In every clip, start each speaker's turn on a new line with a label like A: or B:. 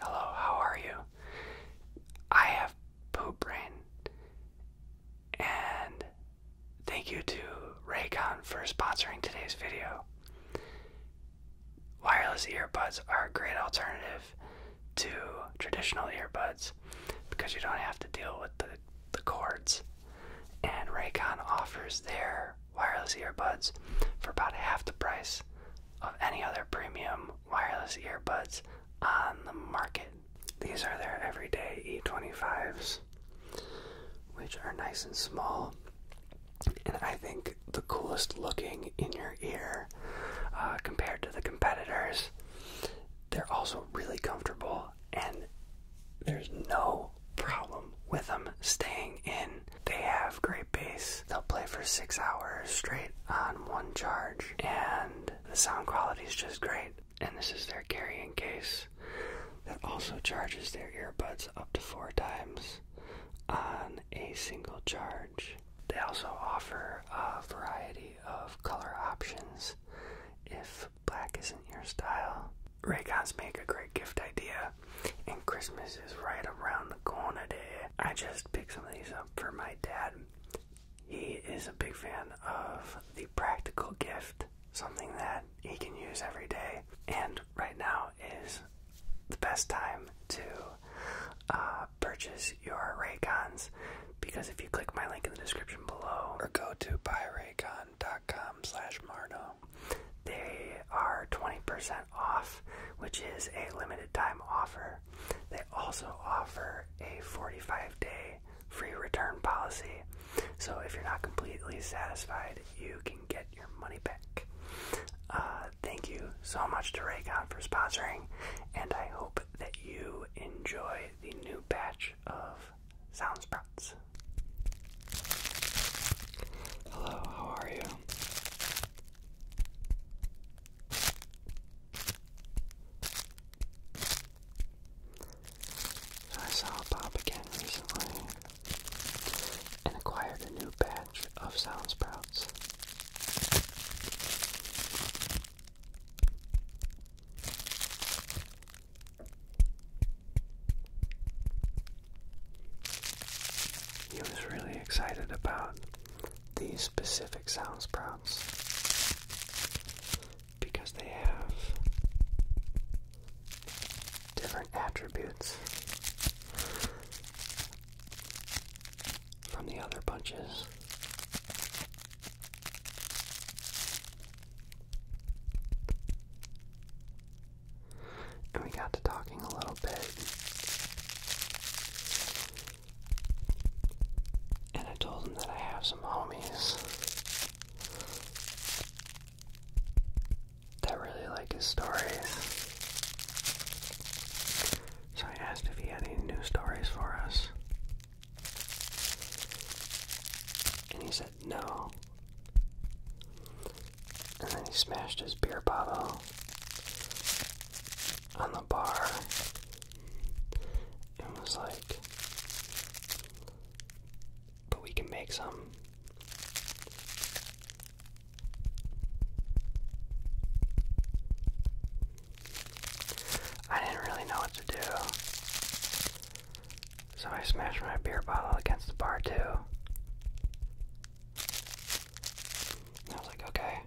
A: Hello, how are you? I have poop brain. And thank you to Raycon for sponsoring today's video. Wireless earbuds are a great alternative to traditional earbuds because you don't have to deal with the, the cords. And Raycon offers their wireless earbuds for about half the price of any other premium wireless earbuds on the market. These are their everyday E25s, which are nice and small, and I think the coolest looking in your ear uh, compared to the competitors. They're also really comfortable, and there's no problem with them staying in they have great bass. They'll play for six hours straight on one charge, and the sound quality is just great. And this is their carrying case that also charges their earbuds up to four times on a single charge. They also offer a variety of color options if black isn't your style. Raycons make a great gift idea and Christmas is right around the corner there. I just picked some of these up for my dad. He is a big fan of the practical gift, something that he can use every day. And right now is the best time to uh, purchase your Raycons because if you click my link in the description below or go to buyraycon.com slash mardo, they are 20% off, which is a limited time offer. They also offer a 45 day free return policy. So if you're not completely satisfied, you can get your money back. Uh, thank you so much to Raycon for sponsoring, and I hope that you enjoy the new batch of Sound Sprouts. Hello, how are you? So I saw a Bob again recently and acquired a new batch of sound sprouts. He was really excited about these specific sound sprouts because they have different attributes from the other bunches. And we got to talking a little bit. And I told him that I have some homies that really like his stories. So I asked if he had any new stories for us. And he said no. And then he smashed his beer bottle on the bar and was like, But we can make some. I didn't really know what to do. So I smashed my beer bottle against the bar, too. I was like, okay.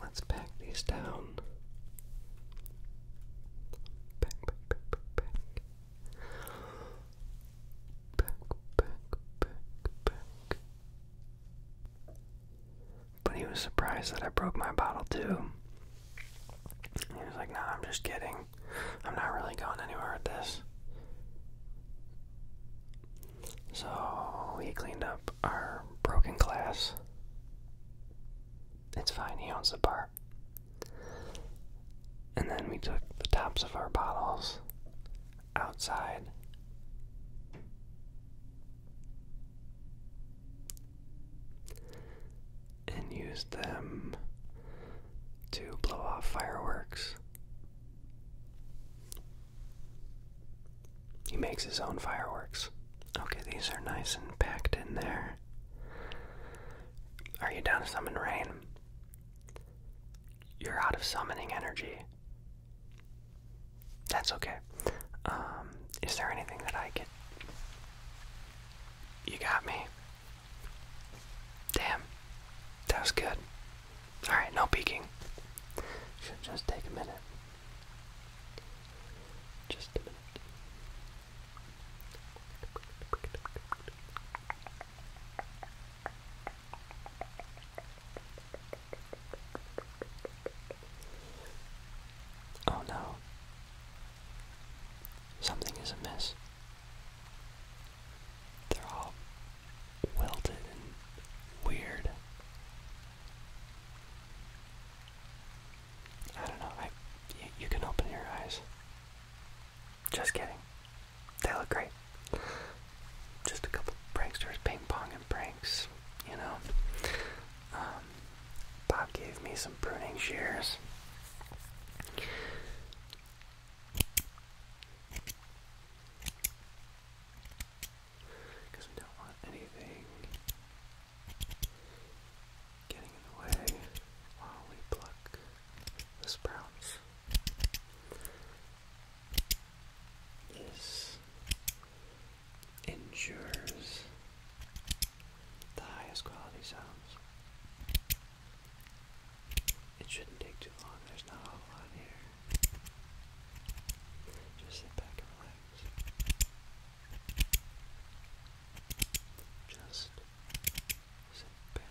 A: Let's pack these down. Pack, pack, pack, pack, pack. Back, back, back, back. But he was surprised that I broke my bottle too. he was like, "No, I'm just kidding. I'm not really going anywhere with this. So we cleaned up our broken glass. It's fine, he owns the bar. And then we took the tops of our bottles outside and use them to blow off fireworks. He makes his own fireworks. Okay, these are nice and packed in there. Are you down to summon rain? You're out of summoning energy. That's okay. Um, is there anything that I could. You got me. Damn. That was good. Alright, no peeking. Should just take a minute. Just a minute. Oh no. Something is amiss. They're all wilted and weird. I don't know. you, can open your eyes. Just kidding. They look great. Just a couple pranksters ping pong and you know. Um, Bob gave me some pruning shears. Because we don't want anything getting in the way while we pluck the sprouts. This ensures the highest quality sounds. It shouldn't take too long, there's not a whole lot here. Just sit back and relax. Just sit back and relax.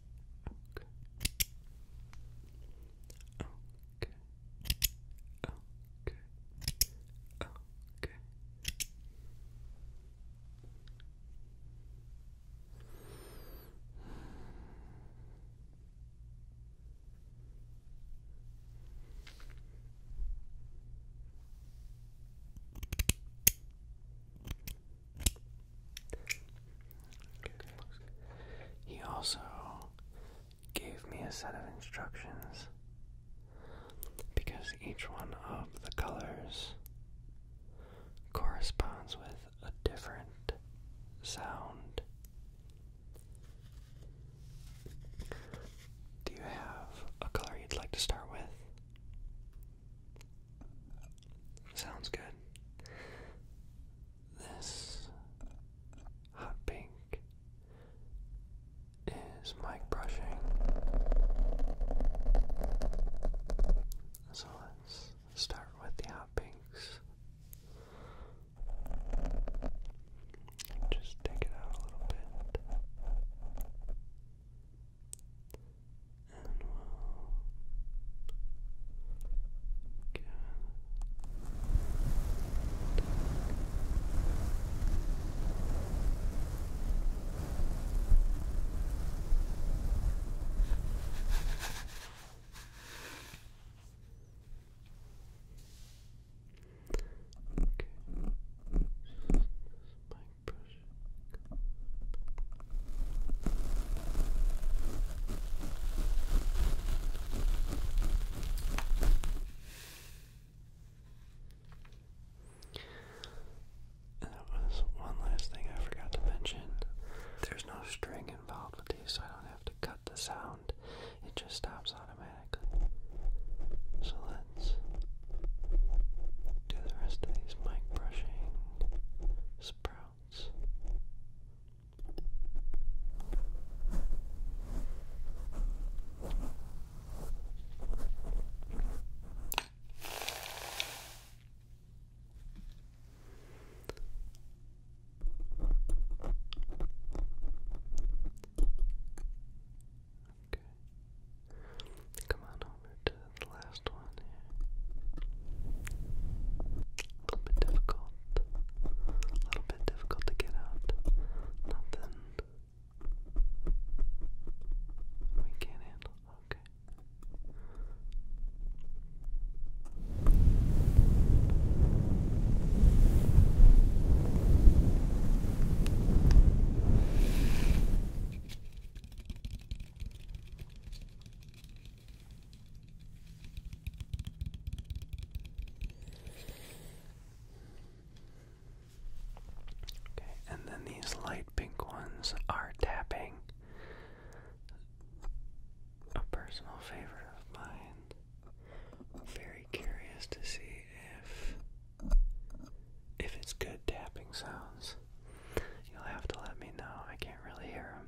A: Oak. Oak. Oak. Oak. Oak. He also gave me a set of instructions because each one of the colors corresponds with a different sound. Do you have a color you'd like to start with? Sounds good. This hot pink is mic brushing. So let's start with the hot pinks. Just take it out a little bit and we'll get Okay. This is my and there was one last thing I forgot to mention. There's no string involved with these, so I don't have to cut the sound. It just stops automatically. So let's do the rest of these mic brushing sprouts. Okay. Come on over to the last one A little bit difficult. A little bit difficult to get out. Nothing we can't handle. Okay. Okay, and then these light pink ones are tapping a personal favorite of mine. I'm very curious to see if if it's good tapping sounds. You'll have to let me know. I can't really hear them.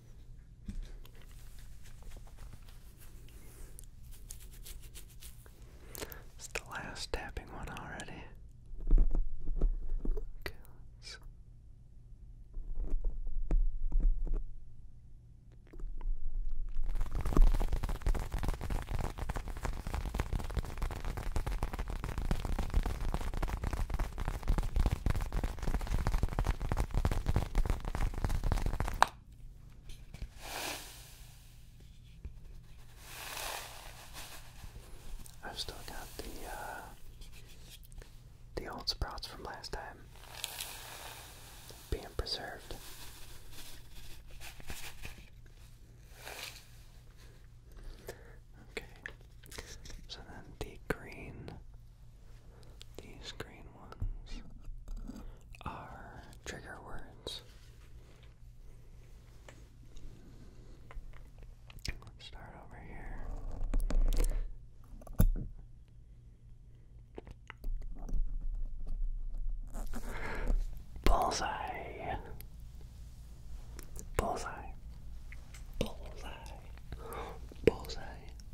A: It's the last tapping one already. Okay, I've still got the uh, the old sprouts from last time being preserved. Okay, so then the green these green ones are trigger words. Let's start over here. Bullseye. Bullseye. Bullseye. Bullseye.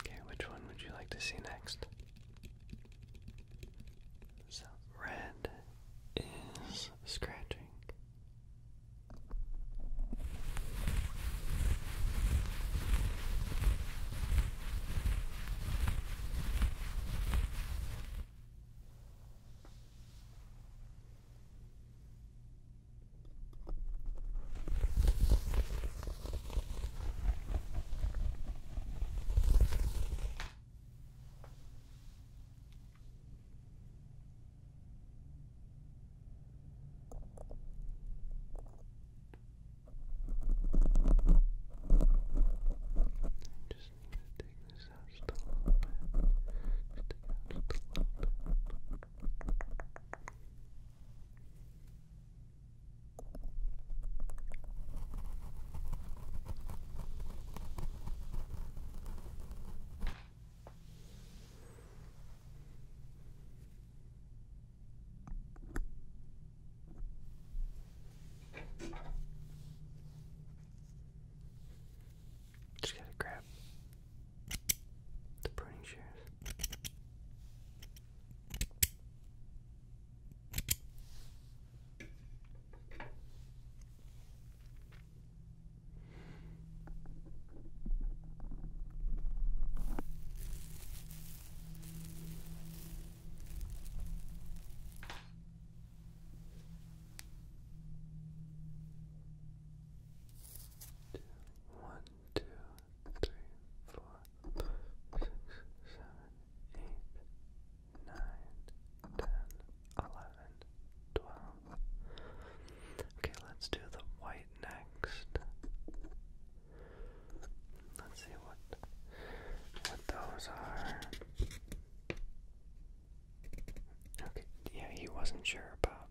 A: Okay, which one would you like to see next? So, red is scratching. Just need to take this out just a little bit. Just take out just a little bit. Just gotta grab the pruning shears two, one, two, three, four, five, six, seven, eight, nine, ten, eleven, twelve. Okay, let's do the white next. Let's see what what those are. Okay, yeah, he wasn't sure about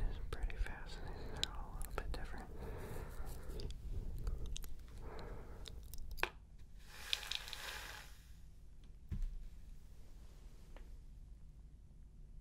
A: is pretty fascinating. They're all a little bit different.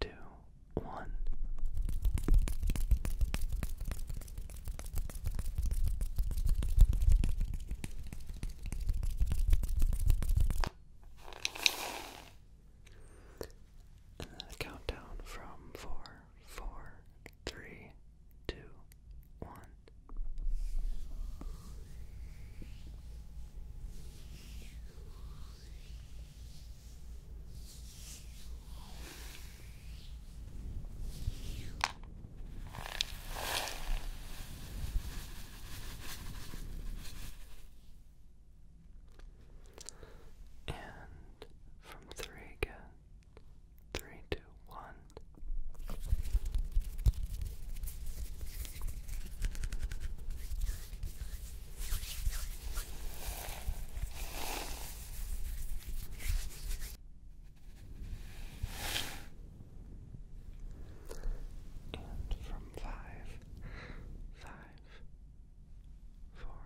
A: two, one. And then a countdown from four, four, three, two, one. And from three again, three, two, one. And from five, five, four,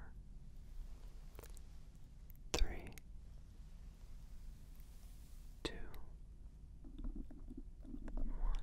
A: three, two, one.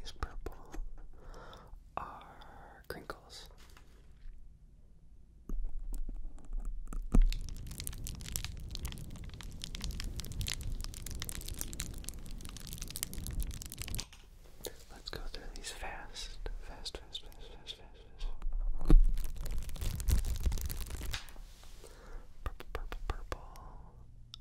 A: these purple are crinkles. Let's go through these fast, fast, fast, fast, fast, fast, fast. Purple, purple, purple.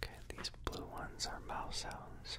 A: Okay, these blue ones are mouse sounds.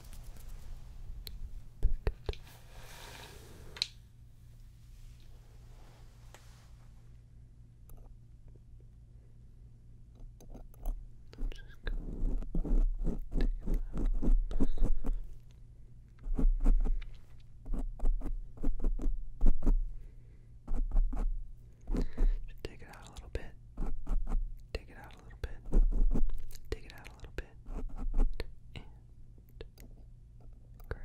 A: Pickett. i Just take it out a little bit. Take it out a little bit. Take it out a little bit. And grab.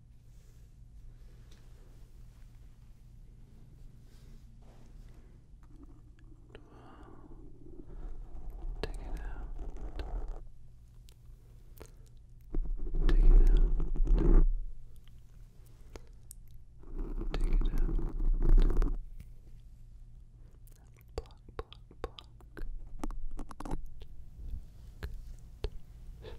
A: Take it out. Take it out. Take it out. Block, block, block. Good.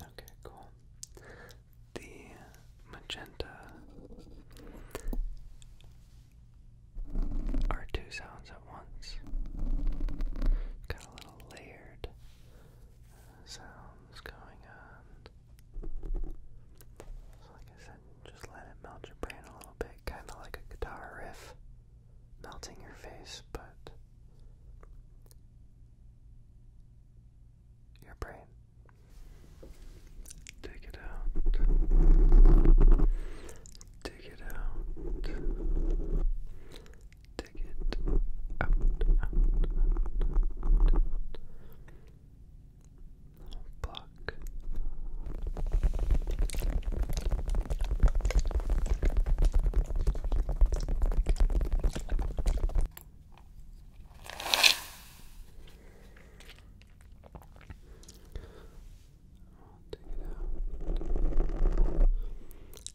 A: Okay, cool. The magenta are two sounds at once. Got a little layered sounds going on. So, like I said, just let it melt your brain a little bit, kind of like a guitar riff melting your face, but your brain. Take it out. Dig it out. Take it out, out, out, out. Block. I'll take it out.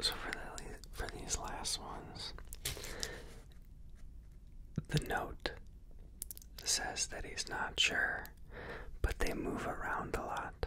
A: So for for these last ones, the note says that he's not sure, but they move around a lot.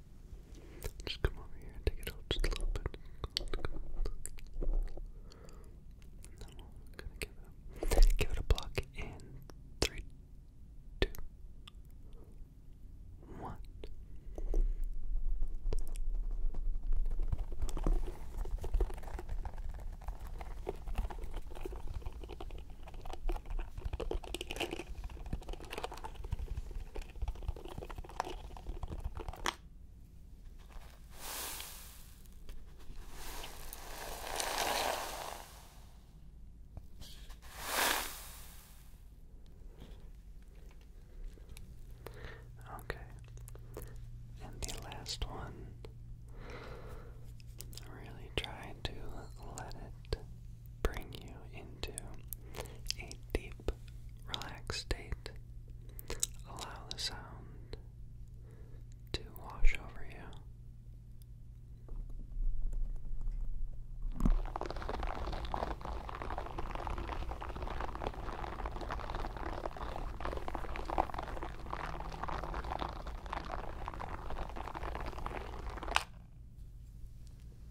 A: Just come over here and take it out just a little bit. And then we're gonna give it a, give in three, two, one. Okay. And the last one. Really try to let it bring you into a deep, relaxed state. Allow the sound to wash over you.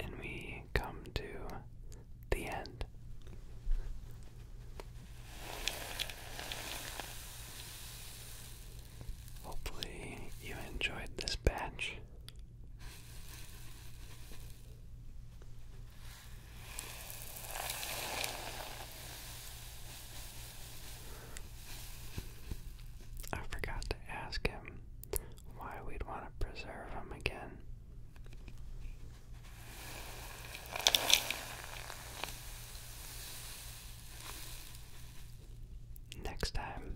A: and we come to the end. Hopefully, you enjoyed this batch. I forgot to ask him why we'd want to preserve them again. Next time,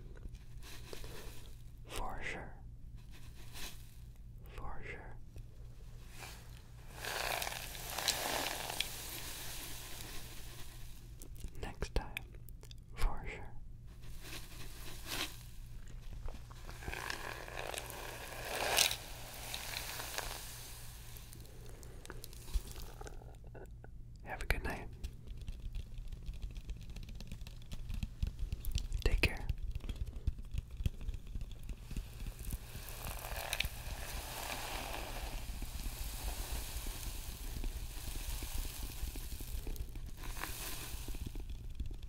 A: for sure, for sure. Next time, for sure. Have a good night. Take care.